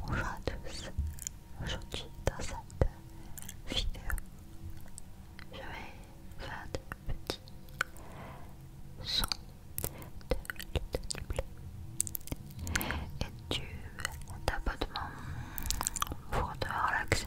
Bonjour à tous, aujourd'hui dans cette vidéo, je vais faire des petits sons de du blé et du tapotement pour te relaxer.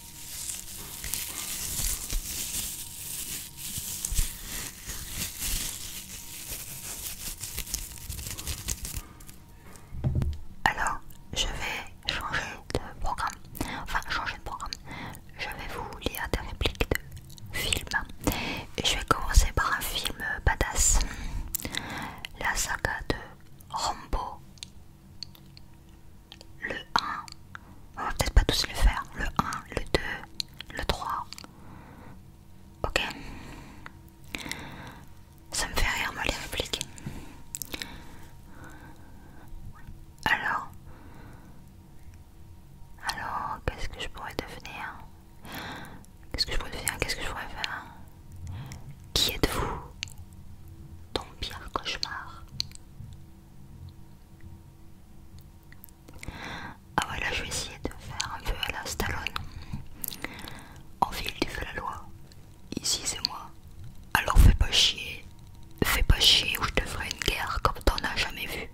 Alors, je vais changer de programme, enfin changer de programme, je vais vous lire des répliques de films. Et je vais commencer par un film badass, la saga de Rambo le 1, on va peut-être pas tous le faire, le 1, le 2, le 3. Ok. Ça me fait rire moi les répliques. Alors, alors, qu'est-ce que je pourrais devenir Qu'est-ce que je pourrais devenir Qu'est-ce que je pourrais faire qui êtes-vous Ton pire cauchemar. Ah voilà, je vais essayer de faire un peu à la Stallone. En ville, tu fais la loi. Ici, c'est moi. Alors fais pas chier. Fais pas chier ou je te ferai une guerre comme t'en as jamais vu.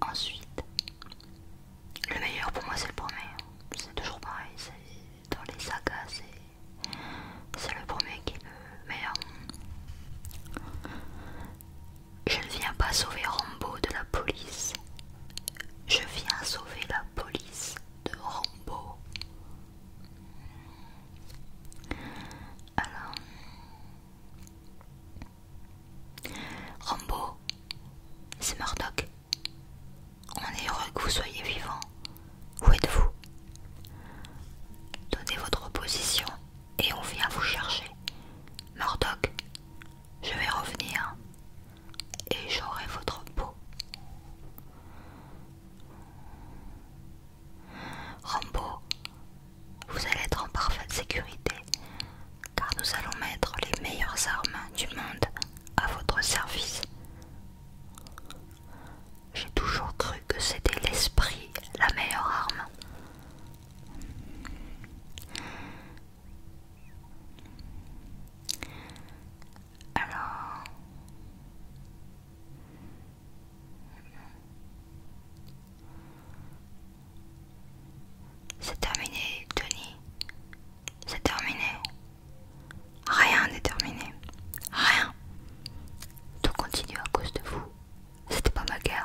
Ensuite, le meilleur pour moi c'est le premier. C'est toujours pareil, dans les sagas, c'est le premier qui me veut, Je ne viens pas sauver Rambo de la police. Je viens sauver la police de Rambo. Alors... Rambo, c'est Murdoch. On est heureux que vous soyez vivant. Où êtes-vous Donnez votre position et on vient vous chercher. Murdoch, je vais revenir et j'aurai votre peau. Rambo, vous allez être en parfaite sécurité car nous allons mettre les meilleures armes du monde à votre service. J'ai toujours cru que c'était l'esprit la meilleure arme. Alors... C'est terminé, Tony. C'est terminé. Rien n'est terminé. Rien. Tout continue à cause de vous. C'était pas ma guerre.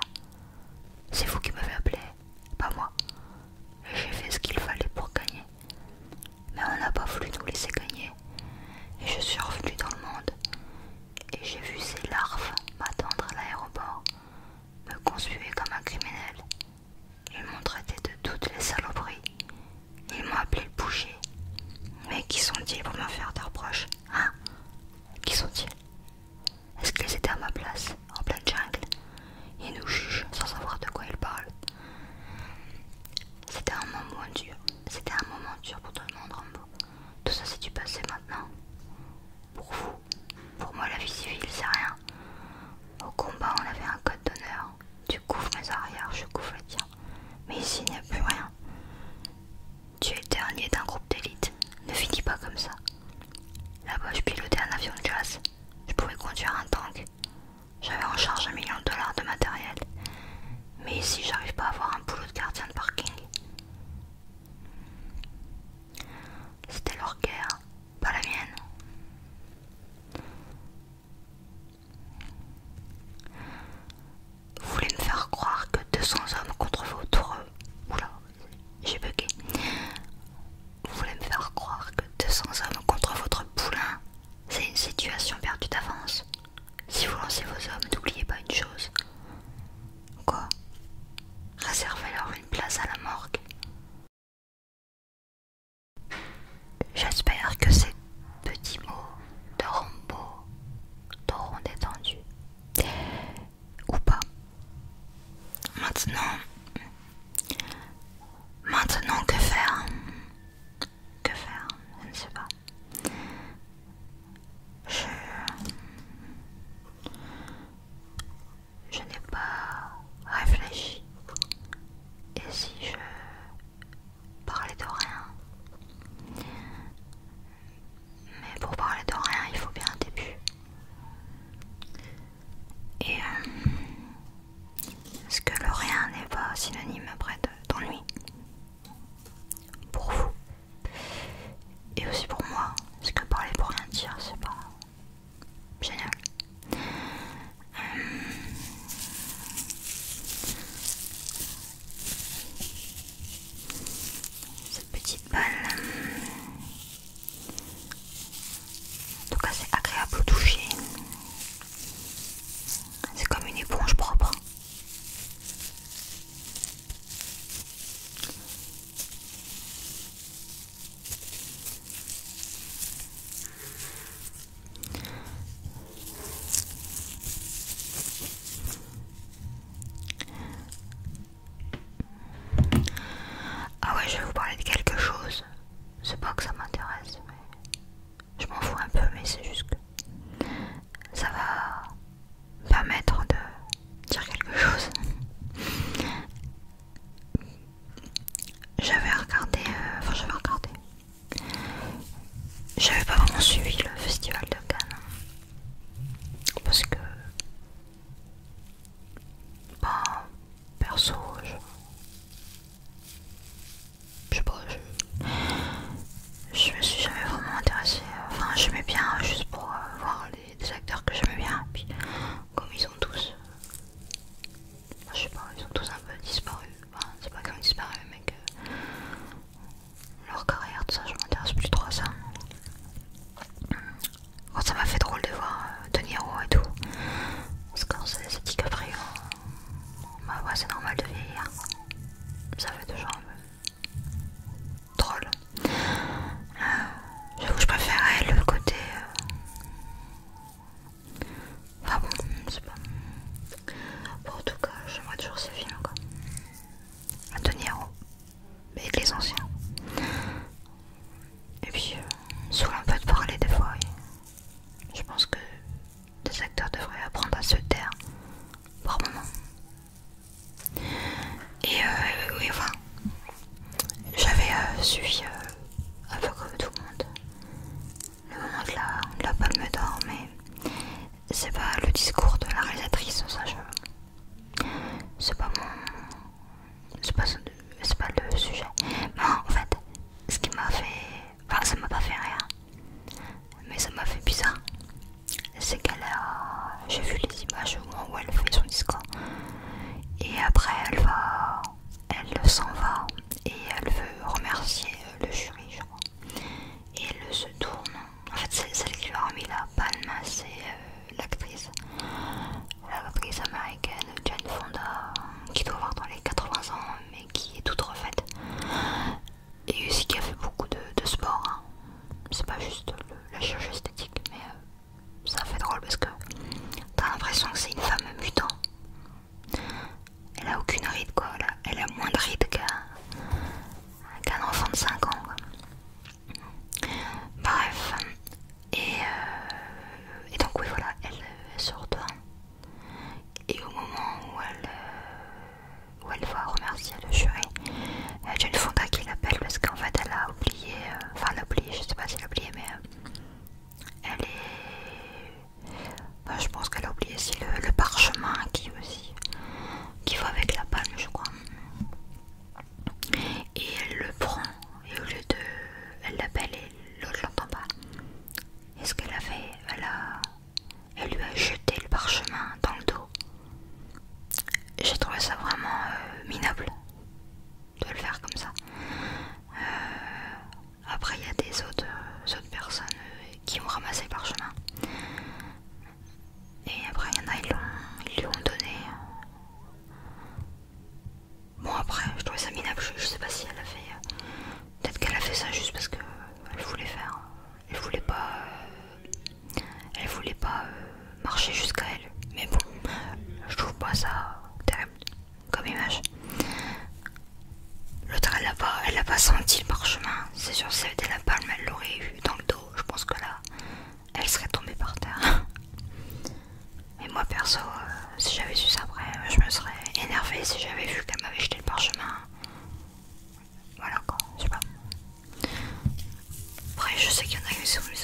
C'est vous qui m'avez appelé, pas moi. J'ai fait ce qu'il fallait pour gagner. Mais on n'a pas voulu nous laisser gagner. Et je suis revenu dans le monde. Et j'ai vu ces larves m'attendre à l'aéroport, me consumer comme un criminel. Ils m'ont traité de toutes les saloperies. Ils m'ont appelé le bouger. Mais qui sont-ils pour me faire des reproches Hein Qui sont-ils Est-ce qu'ils étaient à ma place, en pleine jungle Ils nous jugent sans savoir de quoi ils parlent. C'était un moment dur. C'était un moment dur pour tout le monde, Rambo. Tout ça, s'est du passé maintenant. Pour vous, pour moi la vie civile c'est rien. Au combat on avait un code d'honneur. Tu couvres mes arrières, je couvre les tiens. Mais ici il n'y a plus rien. Tu es dernier d'un groupe d'élite. Ne finis pas comme ça. Là-bas je pilotais un avion de chasse. Je pouvais conduire un tank. J'avais en charge un million de dollars de matériel. Mais ici j'arrive pas à avoir un boulot de gardien de parking. C'était leur guerre, pas la mienne. Vous voulez me faire croire que 200 hommes contre votre... Oula, j'ai bugué. Vous voulez me faire croire que 200 hommes contre votre poulain, c'est une situation perdue d'avance. Si vous lancez vos hommes, n'oubliez pas une chose. Quoi Réservez leur place à la morgue. J'espère que ces petits mots de Rombo t'auront détendu. Ou pas. Maintenant, maintenant que faire Que faire Je ne sais pas je n'ai pas réfléchi. Et si je parlais de rien Mais pour parler de rien, il faut bien un début. Et euh, est-ce que le rien n'est pas synonyme d'ennui lui, Pour vous et aussi pour moi, parce que parler pour rien dire, c'est pas génial. Euh, cette petite balle, euh, en tout cas, c'est agréable au toucher. C'est comme une éponge propre. Ah ouais, je vais vous parler de quelque chose. C'est pas que ça m'intéresse, mais je m'en fous un peu, mais c'est juste que ça va permettre de dire quelque chose. J'avais regardé, euh, enfin j'avais regardé, j'avais pas vraiment suivi le festival de Cannes hein. parce que, bah, perso, je, sais pas, je, je me suis jamais vraiment intéressée, enfin j'aimais bien juste pour euh, voir les des acteurs que j'aime bien, puis comme ils ont tous, je sais pas, ils sont tous un peu disparus, c'est pas qu'ils ont disparu mais que leur carrière, tout ça, je m'intéresse plus trop à ça. ça m'a fait drôle de voir tenir euh, De et tout, parce que quand c'est dit qu'après, bah, c'est normal de vieillir, ça fait toujours un peu drôle. que euh, je préférais le côté. Euh, enfin bon, je sais pas. Bon, en tout cas, j'aimerais toujours ces films quoi. De Niro, avec les anciens. Et puis, euh, souvent on peut te parler des fois. Je pense que des acteurs devraient apprendre à se taire par moment et, euh, enfin, j'avais euh, suivi euh, un peu comme tout le monde le moment de la, me palme mais c'est pas le discours de la réalisatrice, ça je. C'est pas mon. C'est pas, pas le sujet. Mais en fait, ce qui m'a fait. Enfin, ça m'a pas fait rien mais ça m'a fait bizarre. C'est qu'elle a. J'ai vu les images au où elle fait son discours. Et après, elle va. Elle s'en va et elle veut remercier le jury, je crois. Et elle se tourne. En fait, c'est celle qui lui a remis la palme, c'est euh, l'actrice. L'actrice américaine Jane Fonda, qui doit avoir dans les 80 ans, mais qui est toute refaite et aussi qui a fait beaucoup de, sport. Hein. C'est pas juste la chirurgie esthétique, mais euh, ça fait drôle parce que t'as l'impression que c'est une femme mutant. Elle a aucune ride quoi, elle a, moins de ride qu'un enfant de 5 ans. Bref, et, euh, et donc oui voilà, elle, elle se Et au moment où elle, euh, où elle va remercier le jury une euh, fonda qui l'appelle parce qu'en fait elle a oublié, euh, enfin elle a oublié, je sais pas si elle a oublié mais euh, elle est, bah, je pense qu'elle a oublié aussi le, parchemin qui aussi, qui va avec la palme je crois et elle le prend et au lieu de, elle l'appelle et l'autre l'entend pas est ce qu'elle a fait, elle a, elle lui a jeté le parchemin dans le dos. J'ai trouvé ça vraiment euh, minable de le faire comme ça. Euh, après, il y a des autres, euh, personnes qui ont ramassé le parchemin. Et après, il y en a, ils, lui ont donné. Bon, après, je trouvais ça minable. Je, sais pas si elle a fait. Peut-être qu'elle a fait ça juste parce qu'elle voulait faire elle voulait pas, euh, elle voulait pas euh, marcher jusqu'à elle. Mais bon, euh, je trouve pas ça terrible comme image. L'autre, elle l'a pas, elle a pas senti le parchemin. C'est sûr, si elle était la palme, elle l'aurait eu dans le dos. Je pense que là, elle serait tombée par terre. Et moi perso, si j'avais su ça après, je me serais énervée si j'avais vu qu'elle m'avait jeté le parchemin. Voilà quoi, je sais pas. Après, je sais qu'il y en a eu sur ils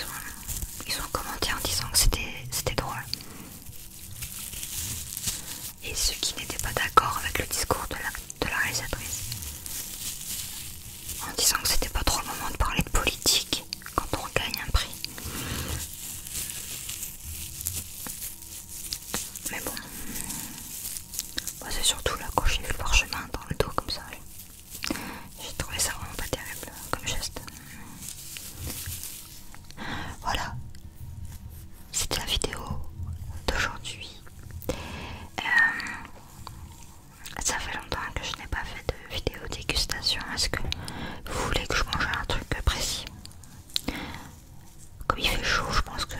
ont ils en disant que c'était drôle. Et ceux qui n'étaient pas d'accord avec le discours de la, de la réalisatrice. En disant que c'était pas trop le moment de parler de politique quand on gagne un prix. Mais bon, c'est surtout là quand j'ai vu le parchemin dans le dos comme ça. J'ai trouvé ça vraiment pas terrible comme geste. Voilà, c'était la vidéo d'aujourd'hui. Euh, ça fait longtemps que je n'ai pas fait de vidéo dégustation. Est-ce que vous voulez que je mange un truc précis comme il fait chaud, je pense que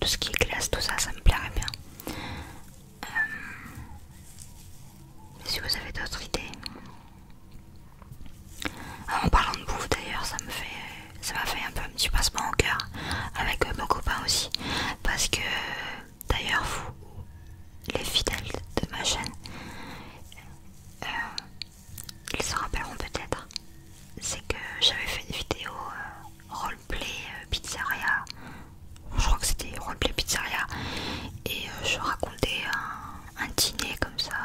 tout ce qui est glace, tout ça, ça me plairait bien. Euh, si vous avez d'autres idées. Euh, en parlant de bouffe d'ailleurs, ça me fait ça m'a fait un peu un petit passement au cœur avec euh, mon copain aussi. Parce que d'ailleurs vous, les fidèles de ma chaîne, ils se rappelleront peut-être, c'est que j'avais fait une vidéo euh, roleplay euh, pizzeria, je crois que c'était roleplay pizzeria, et euh, je racontais un, dîner comme ça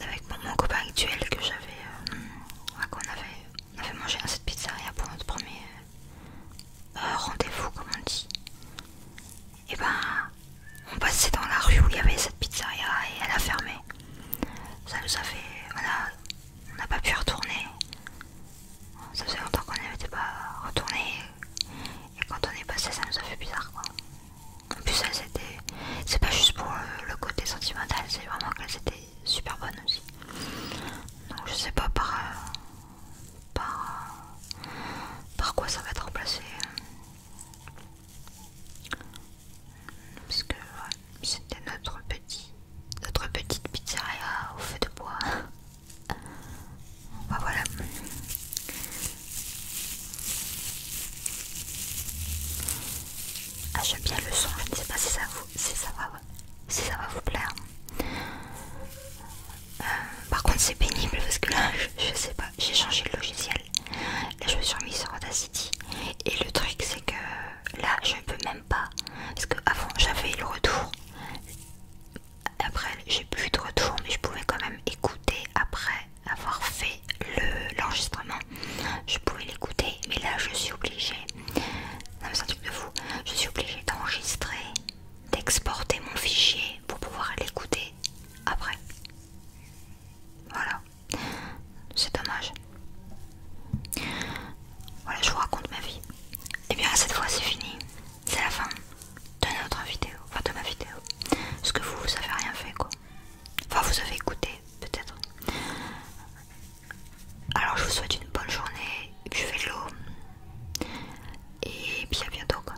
avec mon, copain actuel que j'avais, qu'on avait, on avait mangé à cette pizzeria pour notre premier rendez-vous comme on dit. Et eh ben on passait dans la rue où il y avait cette pizzeria et elle a fermé. Ça nous a fait. Voilà, on n'a pas pu retourner. Ça faisait longtemps qu'on n'avait pas retourné. Et quand on est passé, ça nous a fait bizarre quoi. En plus, elles étaient. C'est pas juste pour euh, le côté sentimental, c'est vraiment qu'elles étaient super bonnes aussi. Donc je sais pas par. Euh, par, euh, par quoi ça va être remplacé. Parce que c'était notre, petit, notre petite pizzeria au feu de bois. voilà. Ah j'aime bien le son, je ne sais pas si ça, vous, ça, va, ça va vous plaire. Euh, par contre c'est pénible parce que là je, sais sais j'ai changé le logiciel. Là, je me suis remise sur City. Et le truc, c'est que là, je peux même pas. Parce que avant j'avais le retour. Après, j'ai plus de retour, mais je pouvais quand même écouter après avoir fait l'enregistrement. je pouvais l'écouter, mais là, je suis obligée. Non, mais c'est un truc de fou. Je suis obligée d'enregistrer, d'exporter mon fichier pour pouvoir l'écouter après. Voilà. C'est dommage. Voilà, je vous raconte ma vie. Et eh bien cette fois c'est fini. C'est la fin de notre vidéo. Enfin de ma vidéo. Parce que vous, vous avez rien fait quoi. Enfin vous avez écouté peut-être. Alors je vous souhaite une bonne journée. Buvez de l'eau. Et puis à bientôt quoi.